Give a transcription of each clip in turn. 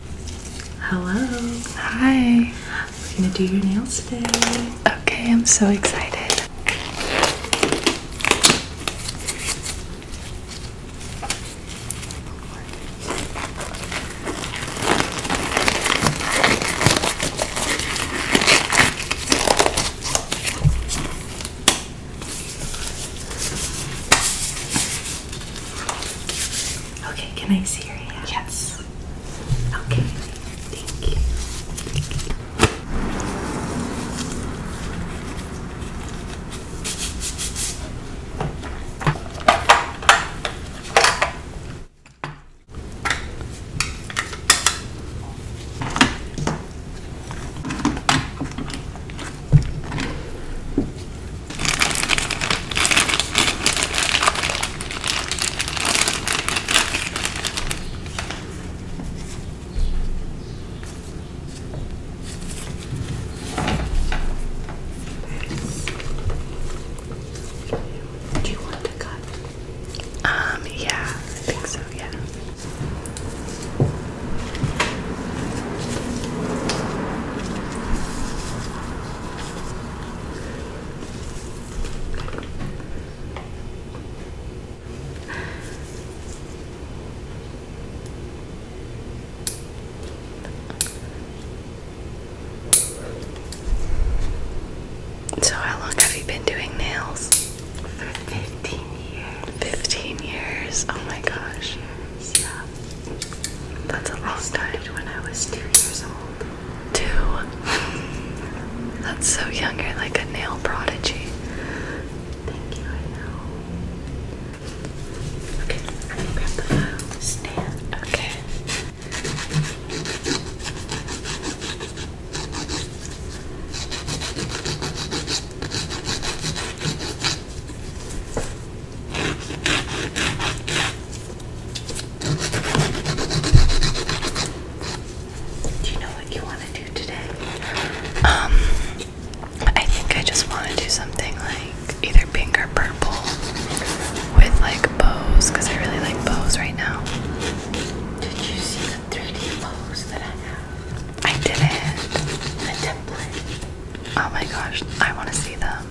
Hello. Hi. We're gonna do your nails today. Okay, I'm so excited. Okay, can I see your hand? Yes. Okay, thank you. Do you want to cut? Um, yeah, I think so, yeah. So, how long have you been doing nails? For 15 years. 15 years. Oh my gosh. That's a lot. I started when I was two years old. Two? That's so young. You're like a nail prodigy. Thank you, Okay. Do you know what you want to do today? Um, I think I just want to do something like either pink or purple with like bows because I really like bows right now. Did you see the 3D bows that I have? I didn't. The template. Oh my gosh, I want to see them.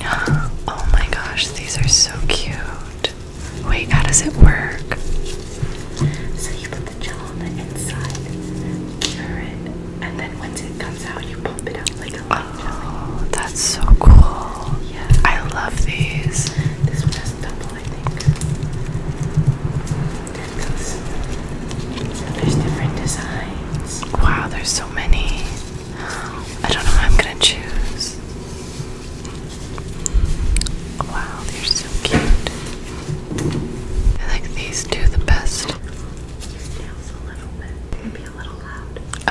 Oh my gosh, these are so cute. Wait, how does it work? So you put the gel on the inside, cure it, and then once it comes out, you pump it out like a light Oh, that's so cool. Yeah. I love these. This one has double Wow, there's so many. I don't know what I'm gonna choose. Wow, they're so cute. I like these two the best.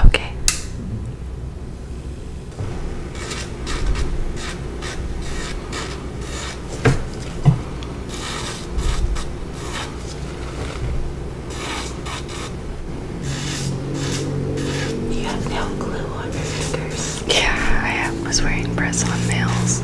Okay. You have nail glue on your fingers. Yeah, I was wearing press-on nails.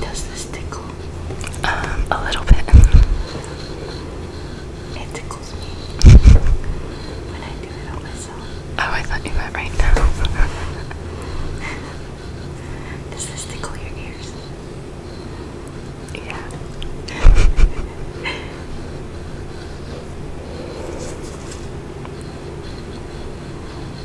Does this tickle? Um, a little bit. It tickles me when I do it myself. Oh, I thought you meant right now. Does this tickle your ears? Yeah.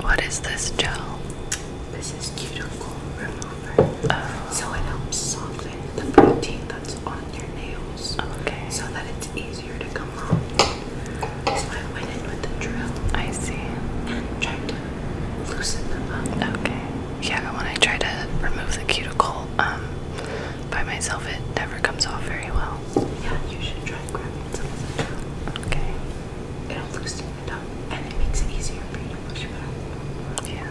What is this gel? This is cuticle remover. Oh. So it helps soften the protein that's on your nails. Okay. So that it's easier to come off. So I went in with the drill. I see. And try to loosen them up. Okay. Yeah, when I try to remove the cuticle um, by myself, it never comes off very well. Yeah, you should try grabbing sounds like that. Okay. It'll loosen it up and it makes it easier for you to push back. Yeah.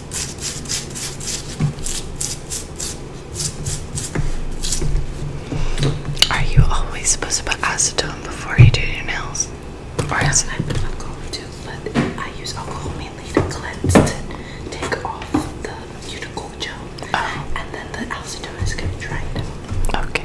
Are you always supposed to put acetone before you do your nails? Or yes, I put alcohol too, but I use alcohol mainly to cleanse, to take off the cuticle gel, oh. and then the acetone is going to dry it Okay.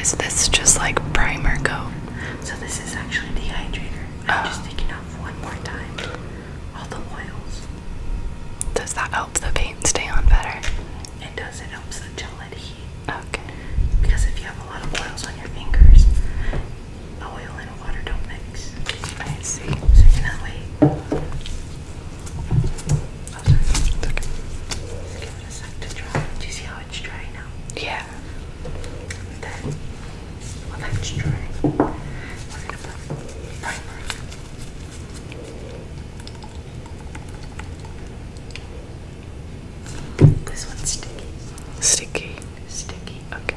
Is this just like primer coat? So this is actually dehydrator. I'm oh. just taking off one more time. Does that help the paint stay on better? It does. It helps the gel adhere. Okay. Because if you have a lot of oils on your fingers, oil and water don't mix. I see. So you cannot wait. Oh, okay. Just give a sec to dry. Do you see how it's dry now? Yeah. Then let's try. This one's sticky. Sticky. Sticky. Okay.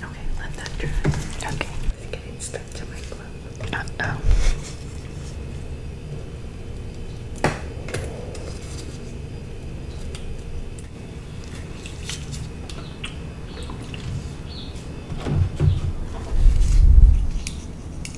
Okay, let that dry. Okay. It's getting stuck to my glove. Uh oh.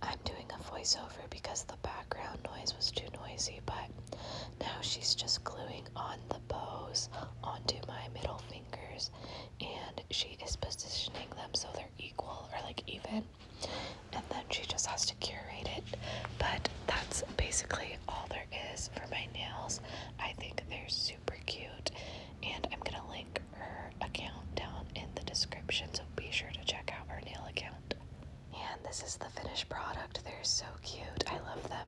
I'm doing a voiceover because the background noise was too noisy, but now she's just gluing on the bows onto my middle fingers and she is positioning them so they're equal or like even. And then she just has to curate it. But that's basically all there is for my nails. I think they're super cute and I'm going to link her account down in the description so be sure to check out her nail account. And this is the finished product. They're so cute. I love them.